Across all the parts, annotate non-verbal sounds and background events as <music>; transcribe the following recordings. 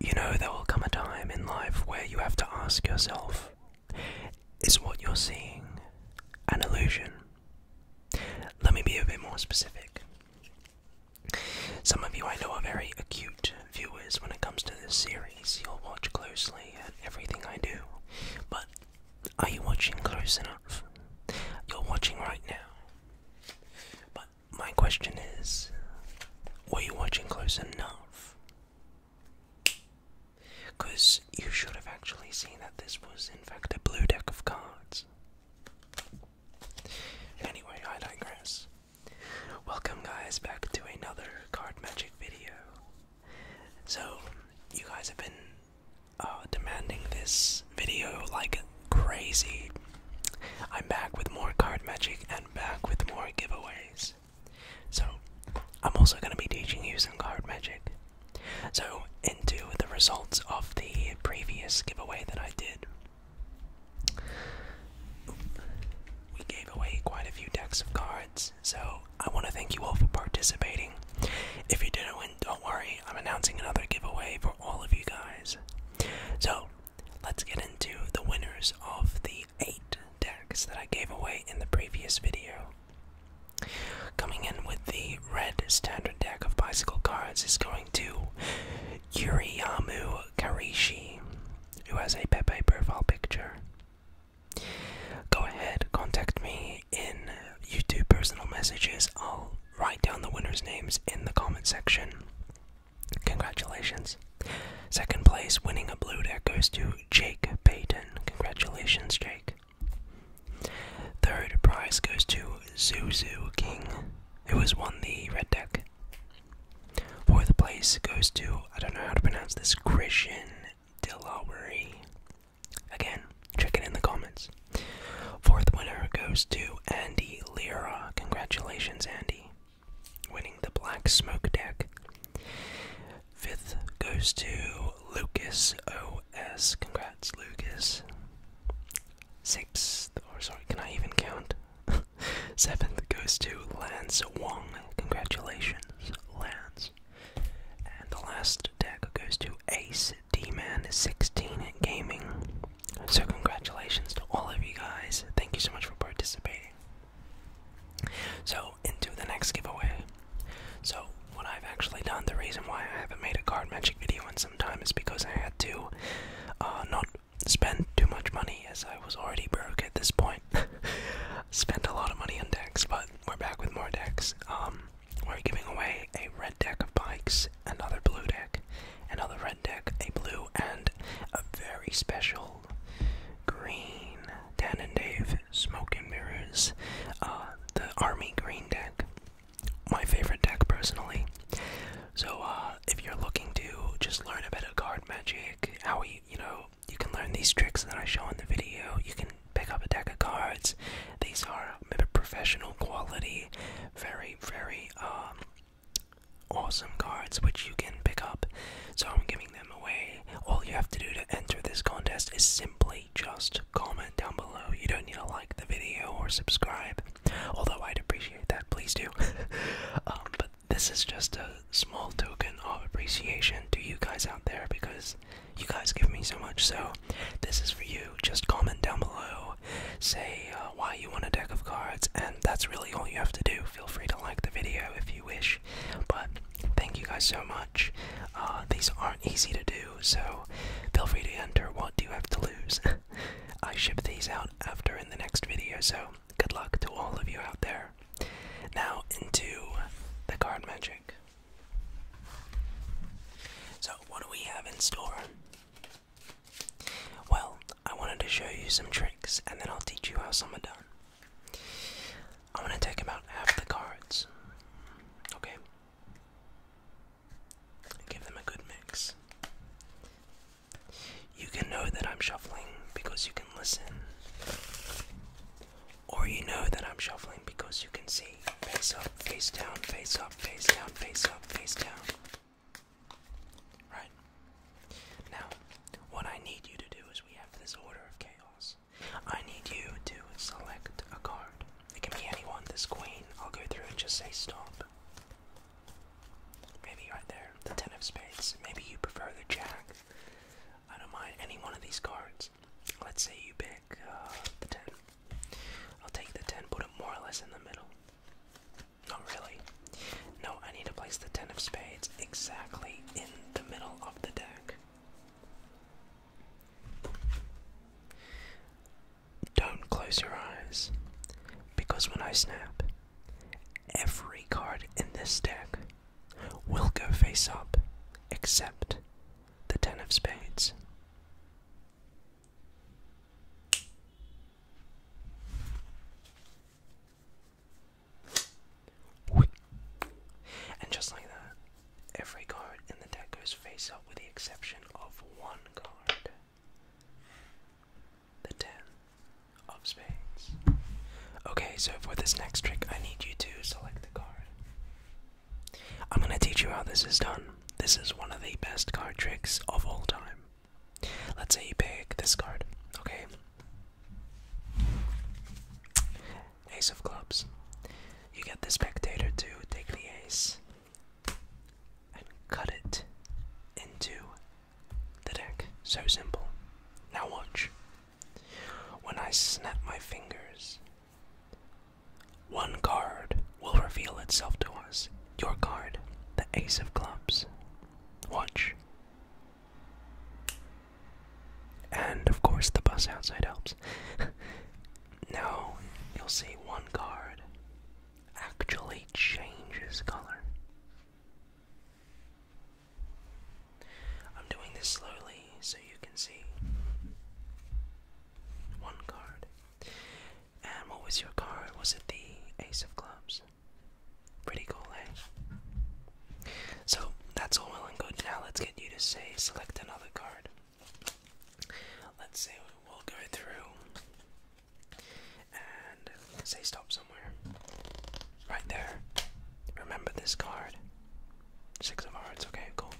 You know, there will come a time in life where you have to ask yourself is what you're seeing an illusion? Let me be a bit more specific. Some of you I know are very acute viewers when it comes to this series. You'll watch closely at everything I do. But are you watching close enough? You're watching right now. But my question is were you watching close enough? Because you should have actually seen that this was, in fact, a blue deck of cards. Anyway, I digress. Welcome, guys, back to another card magic video. So, you guys have been uh, demanding this video like crazy. I'm back with more card magic and back with more giveaways. So, I'm also going to be teaching you some card magic. So, into the results of the previous giveaway that I did. We gave away quite a few decks of cards, so I want to thank you all for participating. If you didn't win, don't worry, I'm announcing another giveaway for all of you guys. So, let's get into the winners of the eight decks that I gave away in the previous video. Coming in with the red standard deck of bicycle cards is going to Yuriyamu Karishi, who has a Pepe profile picture. Go ahead, contact me in YouTube personal messages. i write down the winners' names in the comment section. Congratulations. Second place, winning a blue deck, goes to Jake Payton. Congratulations, Jake. Third prize goes to Zuzu King, who has won the red deck. Fourth place goes to, I don't know how to pronounce this, Christian Dilawari. Again, Check it in the comments. Fourth winner goes to Andy Lira. Congratulations, Andy. Winning the Black Smoke deck. Fifth goes to Lucas OS. Congrats, Lucas. Sixth, or sorry, can I even count? <laughs> Seventh goes to Lance Wong. Congratulations, Lance. And the last deck goes to Ace D-Man16 Gaming. So congratulations to all of you guys. Thank you so much for participating. So into the next giveaway. So what I've actually done, the reason why I haven't made a card magic video in some time is because I had to uh, not spend too much money as I was already broke at this point. <laughs> Spent a lot of money on decks, but we're back with more decks. Um, we're giving away a red deck of bikes, another blue deck, another red deck, a blue, and a very special green Dan and Dave Smoke and Mirrors, uh, the Army Green deck. My favorite deck personally. So, uh, if you're looking to just learn a bit of card magic, how we, you know, you can learn these tricks that I show in the video, you can pick up a deck of cards. These are professional quality, very, very um, awesome cards which you can pick up. So I'm giving them away. All you have to do to enter this contest is simply just comment down below. You don't need to like the video or subscribe, although I'd appreciate that, please do. <laughs> Um, but this is just a small token of appreciation to you guys out there because you guys give me so much. So this is for you. Just comment down below, say uh, why you want a deck of cards, and that's really all you have to do. Feel free to like the video if you wish, but thank you guys so much. Uh, these aren't easy to do, so feel free to enter what do you have to lose. <laughs> I ship these out after in the next video, so good luck to all of you out there. Now into the card magic. So, what do we have in store? Well, I wanted to show you some tricks and then I'll teach you how some are done. I'm going to take about half the cards. Okay? give them a good mix. You can know that I'm shuffling because you can listen. Or you know that I'm shuffling because you can see. Face up, face down, face up, face down, face up, face down. Right? Now, what I need you to do is we have this order of chaos. I need you to select a card. It can be anyone, this queen. I'll go through and just say stop. Maybe right there, the ten of spades. Maybe you prefer the jack. I don't mind any one of these cards. Let's say you pick uh, the ten. I'll take the 10, put it more or less in the middle. Not really. No, I need to place the 10 of spades exactly in the middle of the deck. Don't close your eyes, because when I snap, every card in this deck will go face up except the 10 of spades. And just like that, every card in the deck goes face up with the exception of one card. The ten of spades. Okay, so for this next trick, I need you to select a card. I'm going to teach you how this is done. This is one of the best card tricks of all time. Let's say you pick this card, okay? Ace of clubs. You get the spectator to take the ace and cut it into the deck. So simple. Now watch. When I snap my fingers, one card will reveal itself to us. Your card, the Ace of Clubs. Watch. And of course, the bus outside helps. <laughs> now, you'll see one card actually changes color. I'm doing this slowly so you can see. One card. And what was your card? Was it the Ace of Clubs? Pretty cool, eh? So that's all well and good. Now let's get you to say select another card. Let's say we'll go through and say stop somewhere. Right there. Remember this card. Six of hearts, okay, cool.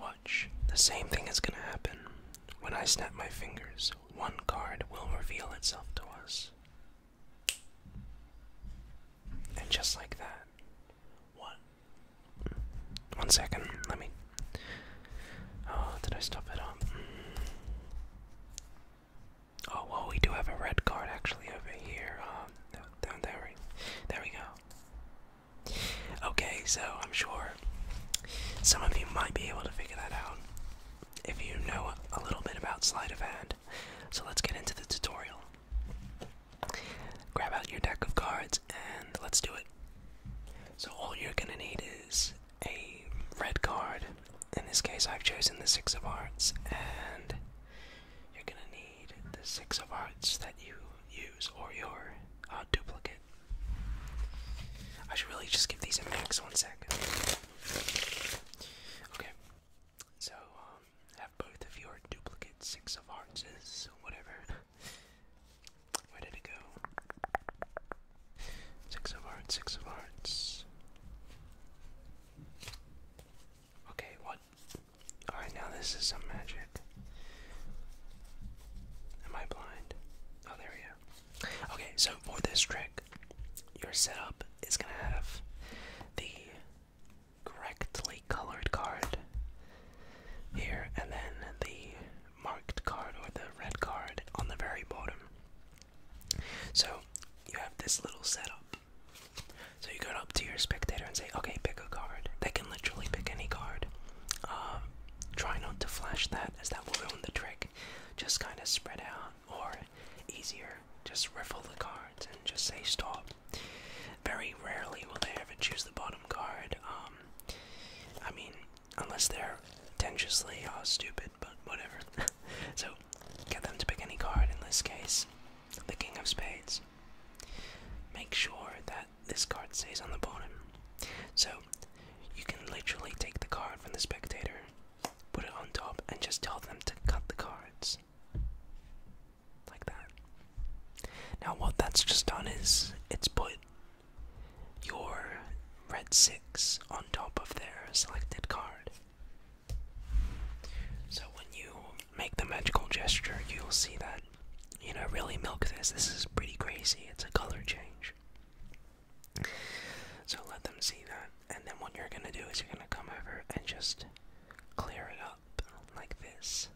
Watch. The same thing is gonna happen. When I snap my fingers, one card will reveal itself to us. And just like that. What? One second, let me. Oh, did I stop it up? Oh, well, we do have a red card actually over here. Um, there, there, there we go. Okay, so I'm sure some of you might be able to figure that out if you know a little bit about sleight of hand. So let's get into the tutorial. Grab out your deck of cards and let's do it. So, all you're gonna need is a red card. In this case, I've chosen the Six of Hearts, and you're gonna need the six of hearts that you use or your uh, duplicate. I should really just give these a max One second. Okay, so um, have both of your duplicate six of hearts, whatever. Where did it go? Six of hearts, six of hearts. Okay, what? Alright, now this is some magic. Am I blind? Oh, there we go. Okay, so for this trick, your setup is gonna have the correctly colored card here, and then the marked card or the red card on the very bottom. So you have this little setup. So you go up to your spectator and say, okay, pick a card. They can literally pick any card. Um, try not to flash that, as that will ruin the trick. Just kind of spread out, or easier, just riffle the cards and just say stop. Very rarely will they ever choose the bottom card. Um, I mean, unless they're tendentiously oh, stupid, but whatever. <laughs> so, get them to pick any card in this case the King of Spades. Make sure that this card stays on the bottom. So you can literally take the card from the spectator, put it on top, and just tell them to cut the cards. Like that. Now, what that's just done is it's put your red 6 on top of their selected card. So when you make the magical gesture, you'll see that, you know, really milk this. This is pretty crazy. It's a color change. So let them see that. And then what you're going to do is you're going to come over and just clear it up like this.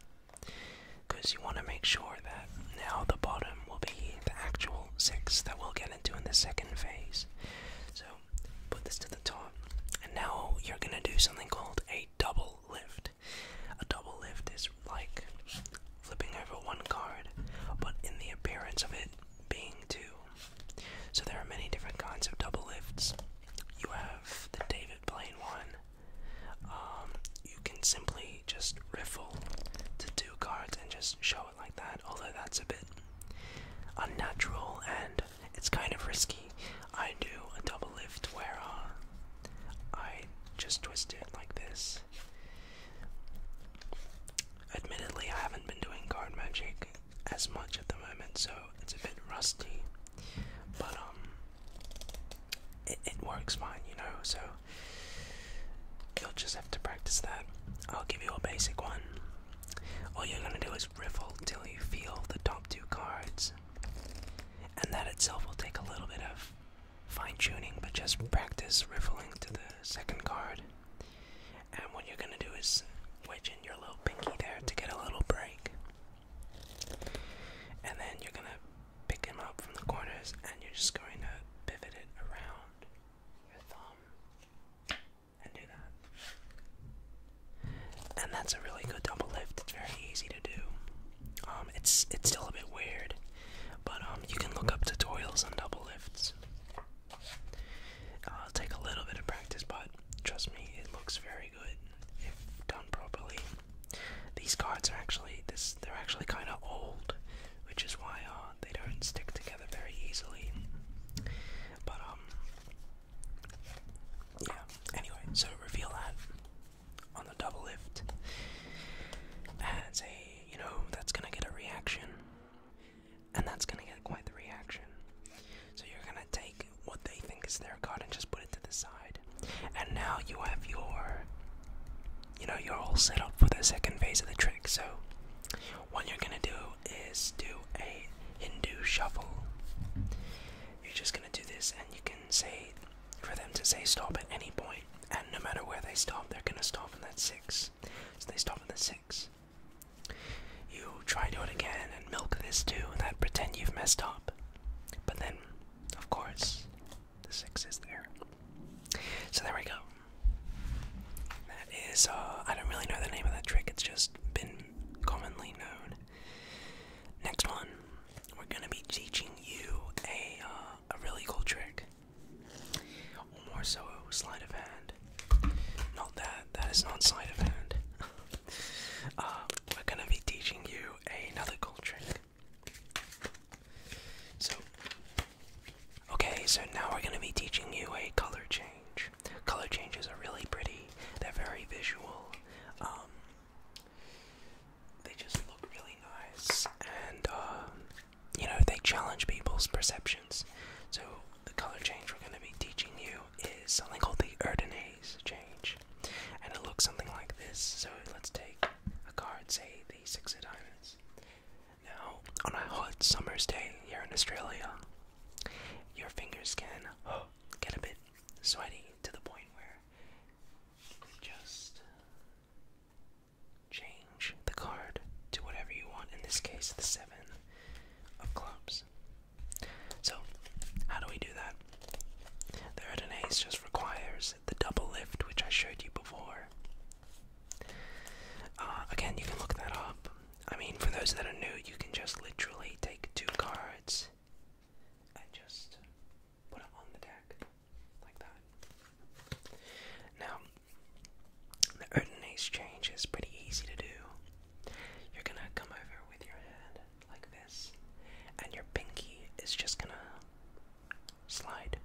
Because you want to make sure that now the bottom will be the actual six that we'll get into in the second phase. So put this to the top, and now you're gonna do something called a double lift. A double lift is like flipping over one card, but in the appearance of it being two. So there are many different kinds of double lifts. You have the David Blaine one. Um, you can simply just riffle to two cards and just show it like that, although that's a bit unnatural and it's kind of risky. I do a double lift where uh, I just twist it like this. Admittedly, I haven't been doing card magic as much at the moment, so it's a bit rusty. But um, it works fine, you know. So you'll just have to practice that. I'll give you a basic one. All you're gonna do is riffle till you feel the top two cards. And that itself will take a little bit of fine tuning, but just practice riffling to the second card. And what you're gonna do is wedge in your little pinky there to get a little break. And then you're gonna pick him up from the corners and you're just going to pivot it around your thumb and do that. And that's a really good double lift. It's very easy to do. Um, it's it's still a bit weird, but um, you can look up tutorials on double lifts. It'll uh, take a little bit of practice, but trust me, it looks very good if done properly. These cards are actually this they're actually kind of old, which is why uh, they don't stick together very easily. But um, yeah, anyway, so reveal that on the double lift as a, you know, that's gonna get a reaction. And that's gonna get quite the reaction. So you're gonna take what they think is their card and just put it to the side. And now you have your, you know, you're all set up for the second phase of the trick. So what you're gonna do is do a Hindu shuffle. You're just gonna do this, and you can say for them to say stop at any point, and no matter where they stop, they're gonna stop in that six. So they stop at the six. You try to do it again and milk this too, and that pretend you've messed up. But then, of course, the six is there. So there we go. That is, uh, I don't really know the name of that trick, it's just been commonly known. Next one, we're gonna be teaching you a uh, a really cool trick, more so, sleight of hand. Not that that is not sleight of hand. <laughs> Uh, we're gonna be teaching you another cool trick. So, okay, so now we're gonna be teaching you a color change. Color changes are really pretty. They're very visual. Um, they just look really nice, and um, you know they challenge people's perceptions. So the color change we're going to be teaching you is something called the Erdenase change, and it looks something like this. So let's take a card, say the Six of Diamonds. Now, on a hot summer's day here in Australia, your fingers can <gasps> get a bit sweaty to the point where just change the card to whatever you want, in this case, the seven of clubs. So, how do we do that? The red and ace just requires the double lift, which I showed you before. Uh, again, you can look that up. I mean, for those that are new, you can just literally take two cards and just put it on the deck like that. Now, the Odin exchange is pretty easy to do. You're gonna come over with your hand like this, and your pinky is just gonna slide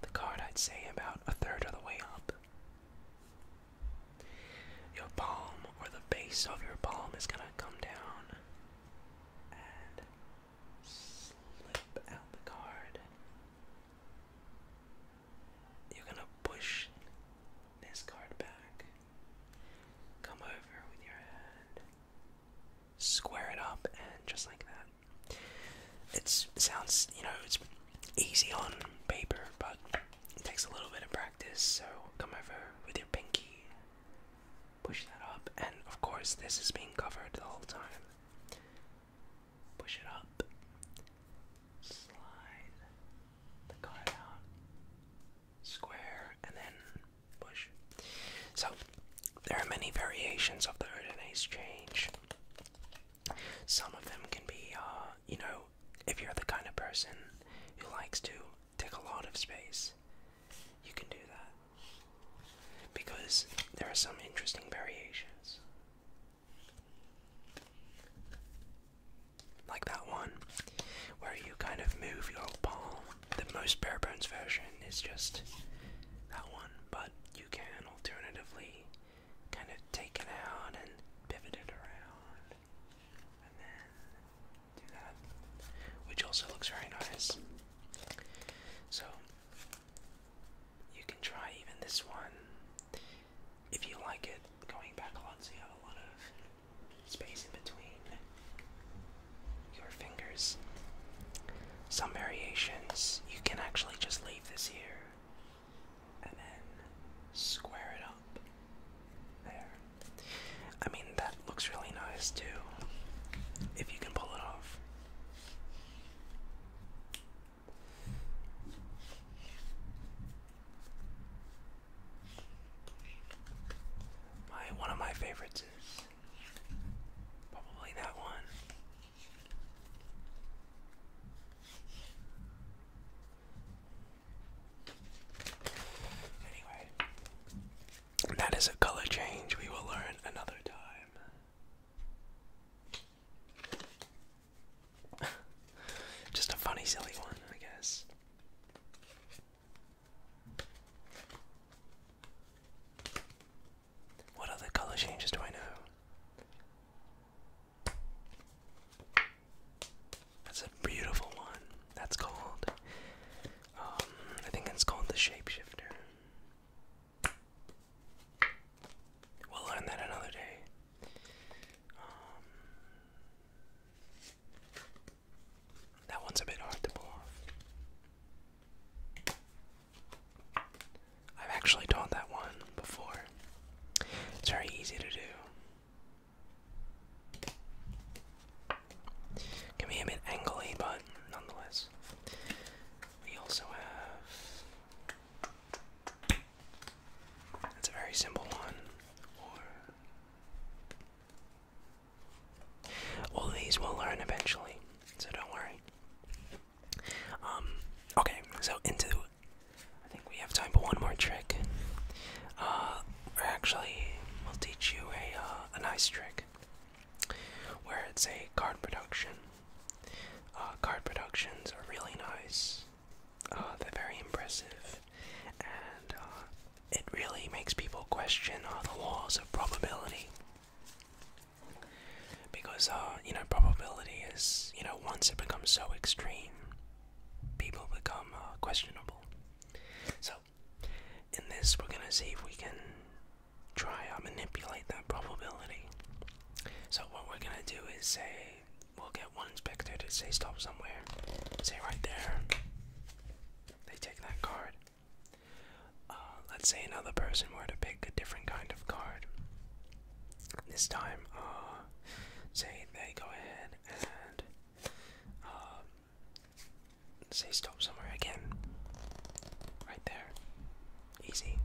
the card, I'd say, about a third of the way up. Your palm or the base of your palm is going to come down and slip out the card. You're going to push this card back. Come over with your hand. Square it up and just like that. it sounds, you know, it's easy on paper, but it takes a little bit of practice. So come over with your pinky, push that up, and of course, this is being covered the whole time. Push it up, slide the card out, square, and then push. So, there are many variations of the Erdenase change. Some of them can be uh, you know, if you're the kind of person who likes to take a lot of space, you can do that. Because there are some interesting variations. Like that one, where you kind of move your palm. The most bare bones version is just that one, but you can alternatively kind of take out and pivot around, and then do that, which also looks very nice. So you can try even this one if you like it. Going back you have a lot of space in between your fingers. Some variations you can actually just leave this here and then square it up there. I mean, that looks really nice too, if you can pull it off. My one of my favorites is probably that one. Anyway, that is a color change we will learn another time. <laughs> Just a funny, silly one, I guess. What other color changes do I know? That's a beautiful one. That's called. Um, I think it's called the shapeshifter. We'll learn that another day. Um, that one's a bit hard to pull off. I've actually taught that one before. It's very easy to do. Can be a bit angly, but nonetheless. We also have. That's a very simple one. Or. All these we'll learn eventually, so don't worry. Um, okay, so into I think we have time for one more trick. Uh, or actually, we'll teach you a uh, a nice trick where it's a card production. Uh, card productions are really nice. Uh, they're very impressive, and uh, it really makes people question all uh, the laws of probability. Because, uh, you know, probability is, you know, once it becomes so extreme, people become uh, questionable. So, in this, we're going to see if we can try and uh, manipulate that probability. So, what we're going to do is say, we'll get one inspector to say stop somewhere, say right there. They take that card. Uh, let's say another person were to pick a different kind of card. This time, uh, say they go ahead and um, say stop somewhere again. Right there. Easy.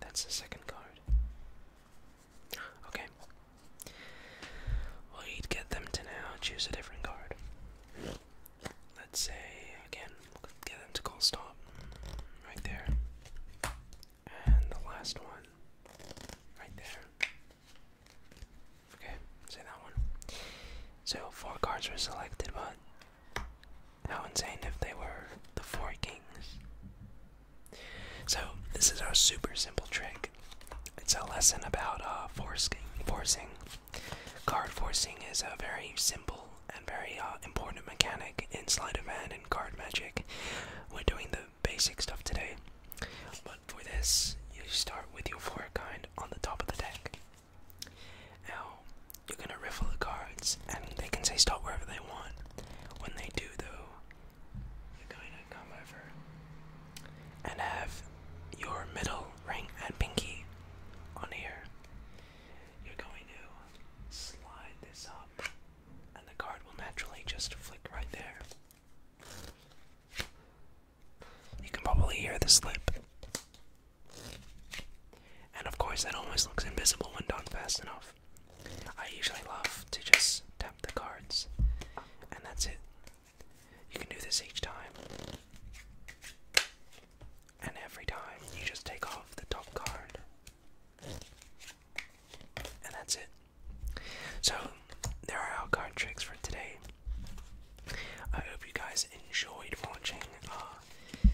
That's the second card. Okay. Well, you'd get them to now choose a different card. Let's say again, Get them call stop. Right there. And the last one. Right there. Okay, say that one. So four cards were selected, but how insane if they were the four kings. So this is our super simple trick. It's a lesson about uh, Forcing card forcing is a very simple and very uh, important mechanic in sleight of hand and card magic. We're doing the basic stuff today, but for this, you start with your four kind on the top of the deck. Now, you're gonna riffle the cards, and they can say stop wherever they want. When they do, though, you're going to come over and have your middle ring and pinky on here. You're going to slide this up, and the card will naturally just flick right there. You can probably hear the slip. And of course, that almost looks invisible when done fast enough. I usually love to just tap the cards, and that's it. You can do this each time and every time you just take off the top card. And that's it. So, there are our card tricks for today. I hope you guys enjoyed watching. Uh,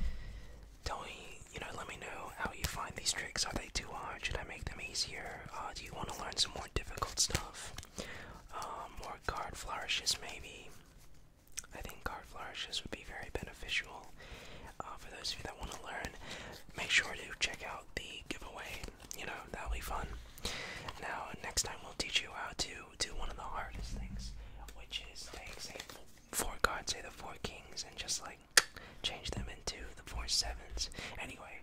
tell me, you know, let me know how you find these tricks. Are they too hard? Should I make them easier? Uh, do you want to learn some more difficult stuff? Uh, more card flourishes, maybe? I think card flourishes would be very beneficial uh, for those of you that want to learn. Make sure to check out the giveaway. You know that'll be fun. Now next time we'll teach you how to do one of the hardest things, which is take say four cards, say the four kings, and just like change them into the four sevens. Anyway,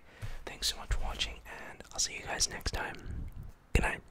thanks so much for watching, and I'll see you guys next time. Good night.